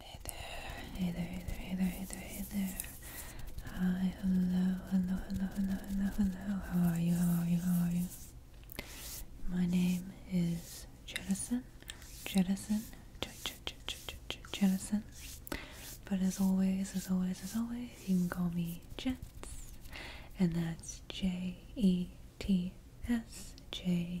Hey there, hey there, hey there, hey there, hey there, hey there. Hi, hello, hello, hello, hello, hello, hello. How are you? How are you? How are you? My name is Jettison. Jettison. Jettison. But as always, as always, as always, you can call me Jets. And that's J E T S J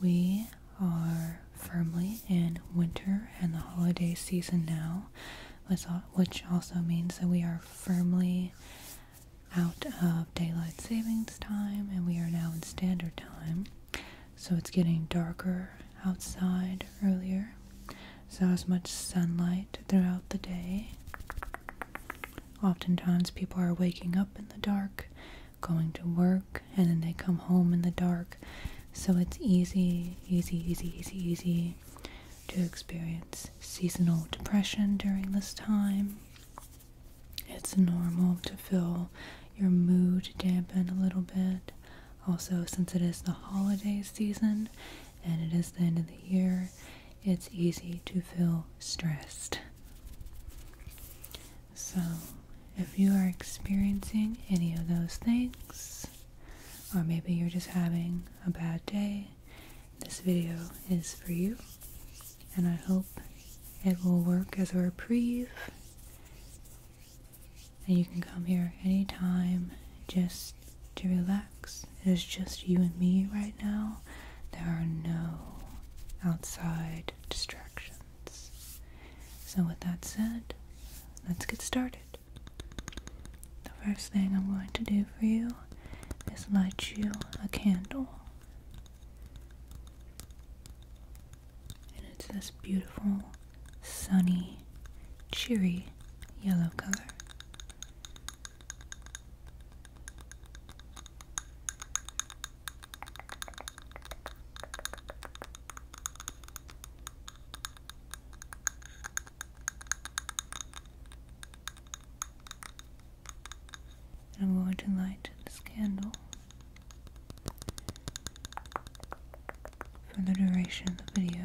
We are firmly in winter and the holiday season now, which also means that we are firmly out of daylight savings time and we are now in standard time. So it's getting darker outside earlier. So as much sunlight throughout the day. Oftentimes, people are waking up in the dark, going to work, and then they come home in the dark. So it's easy, easy, easy, easy, easy to experience seasonal depression during this time. It's normal to feel your mood dampen a little bit. Also, since it is the holiday season and it is the end of the year, it's easy to feel stressed. So, if you are experiencing any of those things, or maybe you're just having a bad day, this video is for you. And I hope it will work as a reprieve. And you can come here anytime just to relax. It is just you and me right now. There are no outside distractions. So, with that said, let's get started. The first thing I'm going to do for you is light you a candle. And it's this beautiful, sunny, cheery yellow color. I'm going to light this candle for the duration of the video.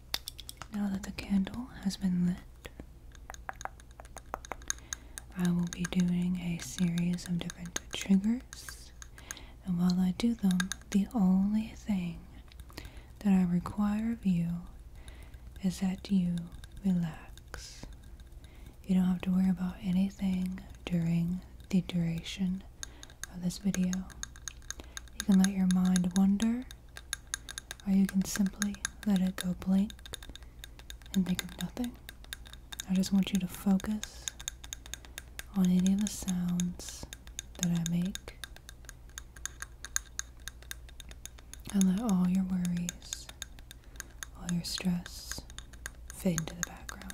Now that the candle has been lit, I will be doing a series of different triggers, and while I do them, the only thing that I require of you is that you relax. You don't have to worry about anything during the duration of this video. You can let your mind wander or you can simply let it go blank and think of nothing. I just want you to focus on any of the sounds that I make and let all your worries, all your stress fade into the background.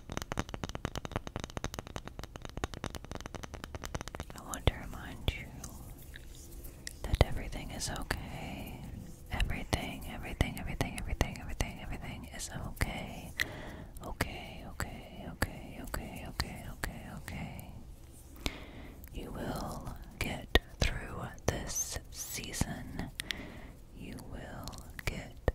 I want to remind you that everything is okay. Everything, everything, everything, everything, everything, everything is okay. Okay, okay, okay, okay, okay, okay, okay. You will get through this season. You will get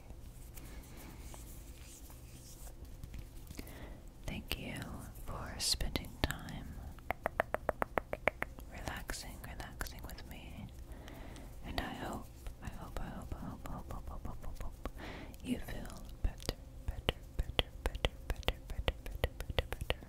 Thank you for spending time relaxing, relaxing with me. And I hope, I hope, I hope, I hope, hope, hope, hope, hope, hope, hope you feel better, better, better, better, better, better, better, better, better.